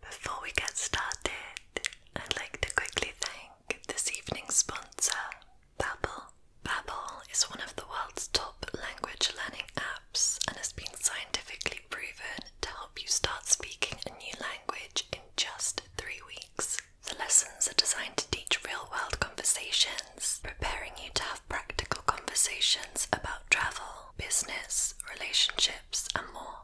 Before we get started, I'd like to quickly thank this evening's sponsor, Babbel. Babbel is one of the world's top language learning apps and has been scientifically proven to help you start speaking a new language in just three weeks. The lessons are designed to teach real world conversations, preparing you to have practical conversations about travel, business, relationships, and more more.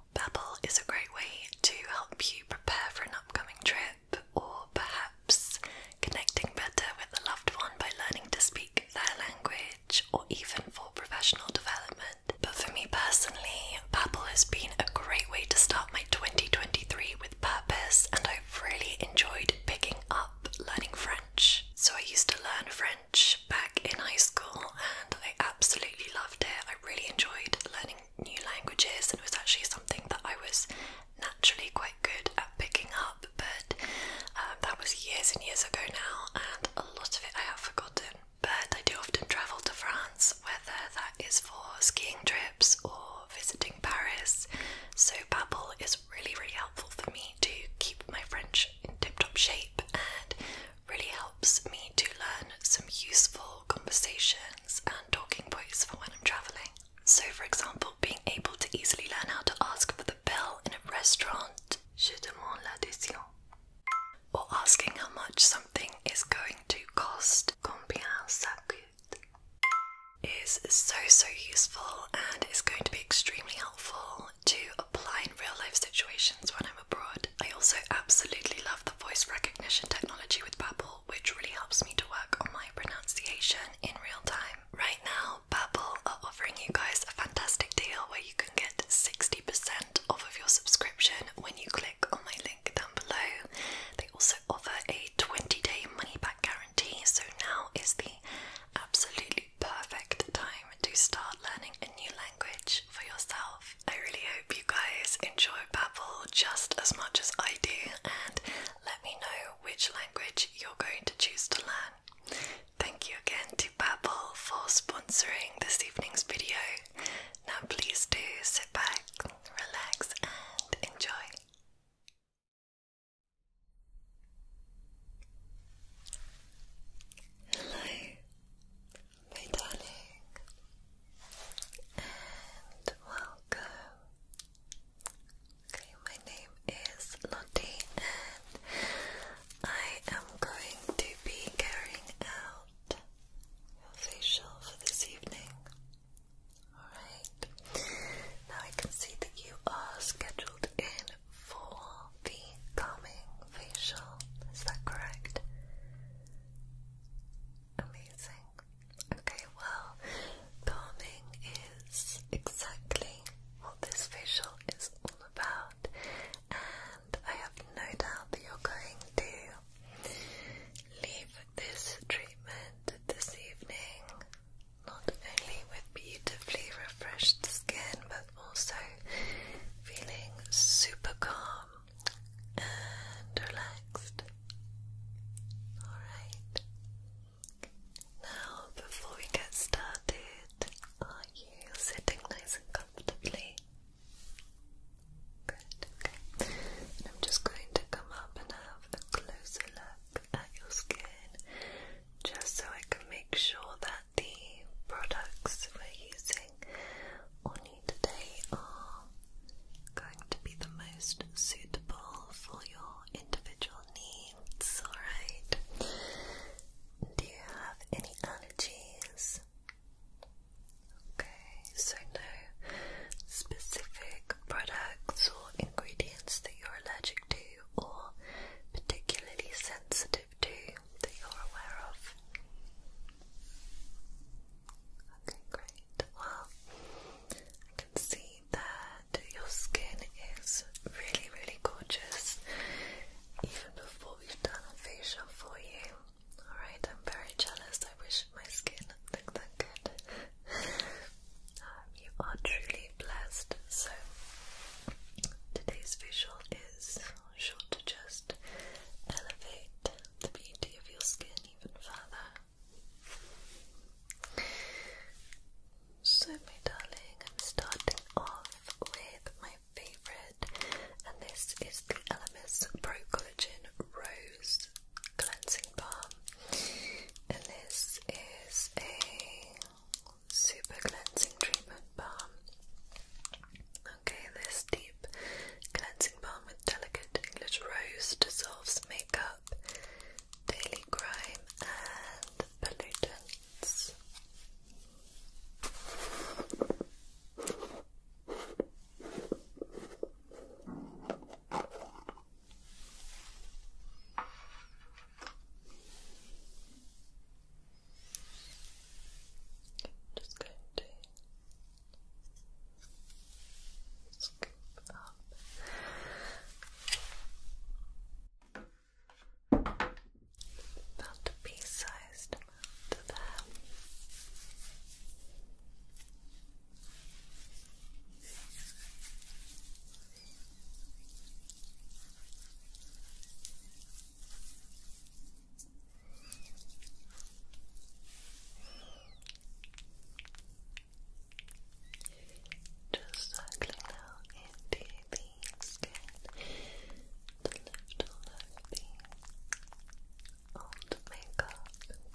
is a great way to help you prepare for an upcoming trip or perhaps connecting better with a loved one by learning to speak their language or even for professional development. But for me personally, Babbel has been a great way to start my 2023 with purpose and I've really enjoyed picking up learning French. So I used to learn French back in high school and I absolutely loved it. I really enjoyed learning new languages, and it was actually something that I was naturally quite good at picking up, but um, that was years and years ago now, and a lot of it I have forgotten. But I do often travel to France, whether that is for skiing trips or visiting Paris, so Babbel is really, really helpful for me to keep my French in tip top shape and really helps me to learn some useful conversations and talking points for when I'm traveling. So, for example, being able to easily learn how to ask for the bill in a restaurant, je demande l'addition, or asking how much something is going to cost, combien ça coûte, is so so useful and is going to be extremely helpful to apply in real life situations when I'm abroad. I also absolutely love the voice recognition technology with Babbel, which really helps me to work on my pronunciation in real time. Right now, Babbel are offering you guys a fantastic deal where you can get 60% off of your subscription when you click on my link down below. They also offer a 20-day money-back guarantee, so now is the absolutely perfect time to start learning a new language for yourself. I really hope you guys enjoy Babbel just as much as I do and let me know which language you're going to choose to learn. Thank you again to Babbel for sponsoring this evening's video. Now please do sit back, relax and enjoy my darling, and welcome. Okay, my name is Lottie, and I am going to be carrying out your facial for this evening. Alright, now I can see that you are scheduled in for the calming facial, is that correct? Amazing. Okay, well, palming is exactly what this facial is all about, and I have no doubt that you're going to leave this treatment this evening not only with beautifully refreshed skin but also feeling super calm and relaxed. Alright. Now, before we get started, are you sitting nice and comfortably? Good, okay. I'm just going to come up and have a closer look at your skin just so I can make sure that the products we're using on today are going to be the most suitable for your individual needs, alright? Do you have any allergies? Okay, so no specific products or ingredients that you're allergic to or particularly sensitive that you're aware of? Okay, great. Well, I can see that your skin is really, really gorgeous even before we've done a facial for you. Alright, I'm very jealous. I wish my skin looked that good. Um, you are truly blessed. So, today's visual is sure to just elevate the beauty of your skin even further. So, my darling, I'm starting off with my favorite, and this is the Elemis Pro Collagen Rose Cleansing Balm, and this is a super cleansing treatment balm. Okay, this deep cleansing balm with delicate English rose dissolves makeup, daily grime, and pollutants. Just going to Scoop up about a pea-sized amount just circling now into the skin, the left all over the old makeup and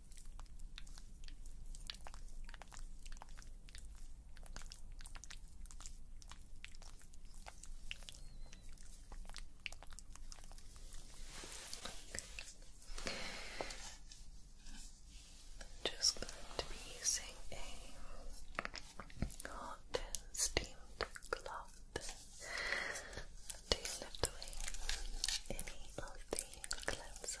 Okay. I'm just going to be using a hot steamed cloth to lift any of the cleanser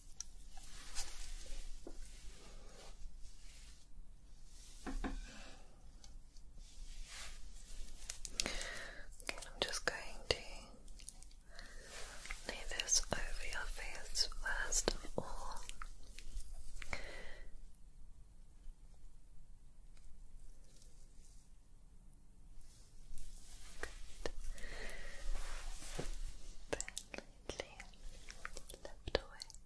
I'm just going to lay this over your face first of all gently lift away. Good.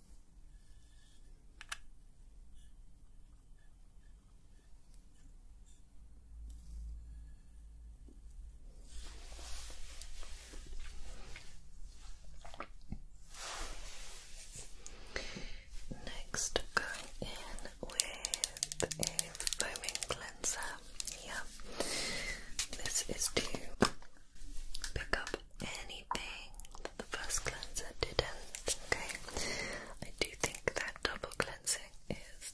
Next, going in with a foaming cleanser. Yeah, this is to pick up anything the first cleanser didn't, um, okay? I do think that double cleansing is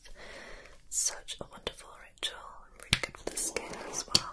such a wonderful ritual and really good for the skin as well.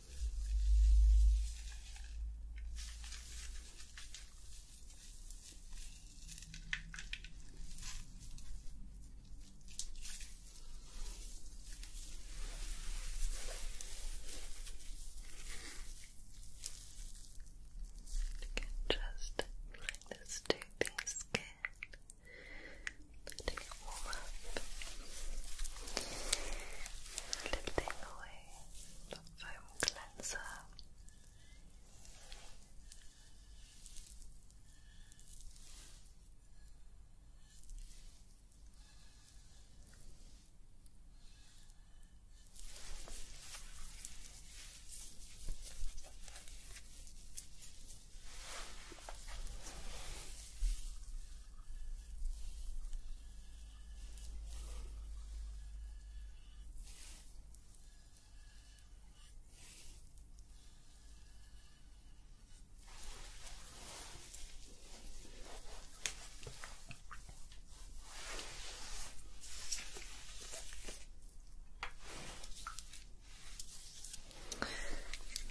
You can just apply this to it warm up. Lifting away the foam cleanser. Lifting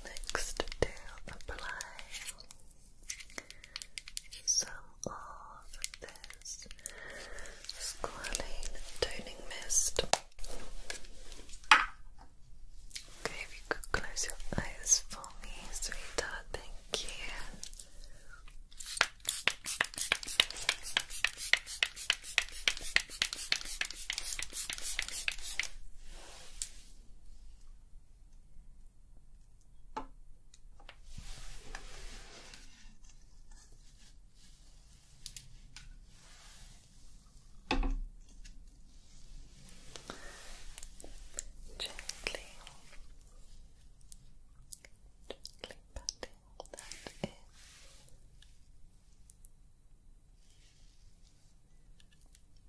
Next to apply so of this squalene toning mist. Okay, if you could close your eyes for me, sweetheart, thank you. Gently, gently patting that in.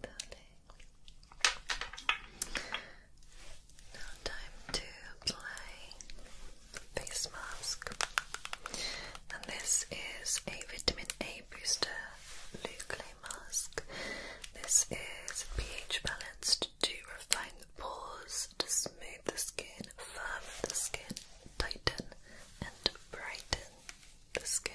now, time to apply face mask. And this is a vitamin A booster Luke Clay mask. This is pH balanced to refine the pores, to smooth the skin, firm the skin, tighten and brighten the skin.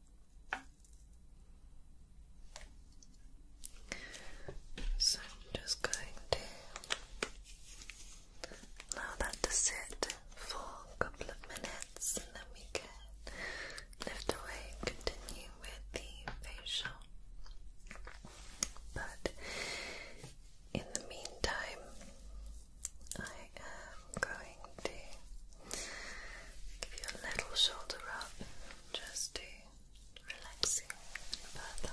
So I'm just going to allow that to sit for a couple of minutes and then we can lift away and continue with the facial. But in the meantime, I am I'm going to give you a little shoulder up just to relaxing you further.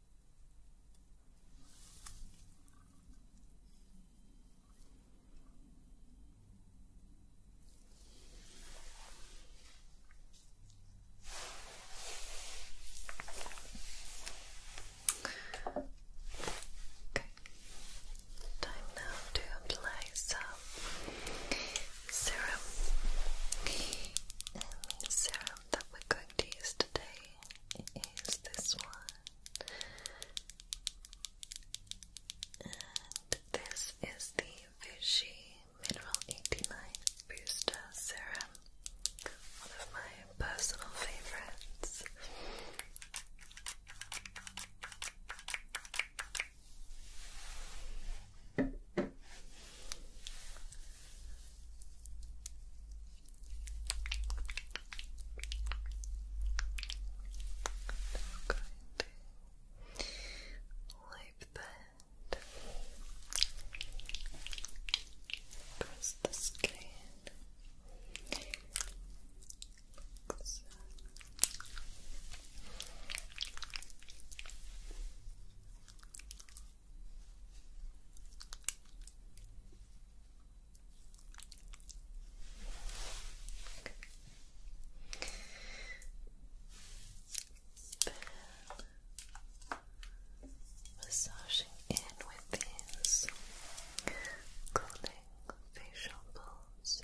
Okay. Time now to apply some serum. serum that we're going to use today is this one. And this is the Vichy Mineral 89 Booster Serum. One of my personal favorites wipe that. the skin. Like so. Good massaging in with these cooling facial balls.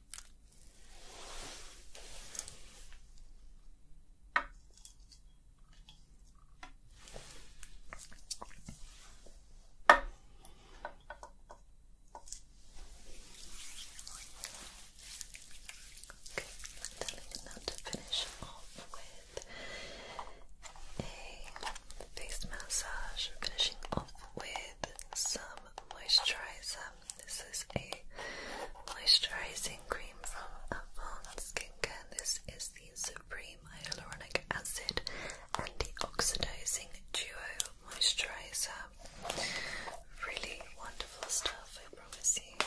now to finish off with a face massage, finishing off with some moisturizer. This is a moisturizing cream from Avon Skincare. This is the Supreme Hyaluronic Acid Antioxidizing Duo Moisturizer. Really wonderful stuff, I promise you.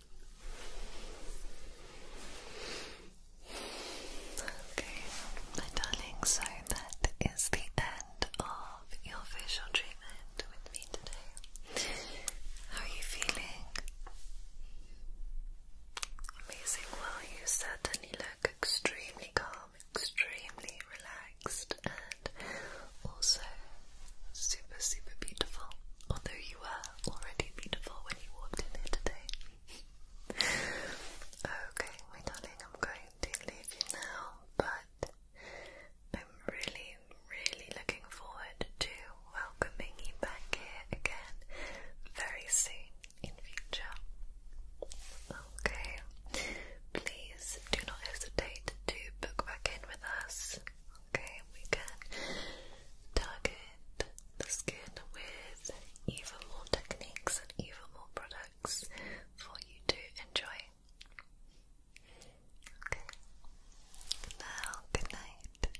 Okay, my darling, so that is the end of your facial treatment with me today. How are you feeling? Amazing. Well, you certainly look extremely calm, extremely relaxed, and also super, super beautiful. Although you are already beautiful when you walked in here today. okay, my darling, I'm going to leave you now, but I'm really, really looking forward to welcoming you back here again very soon in future. Okay, please do not hesitate to book back in with us. Okay, we can target the skin with even more techniques and even more products for you to enjoy. Okay, now good night.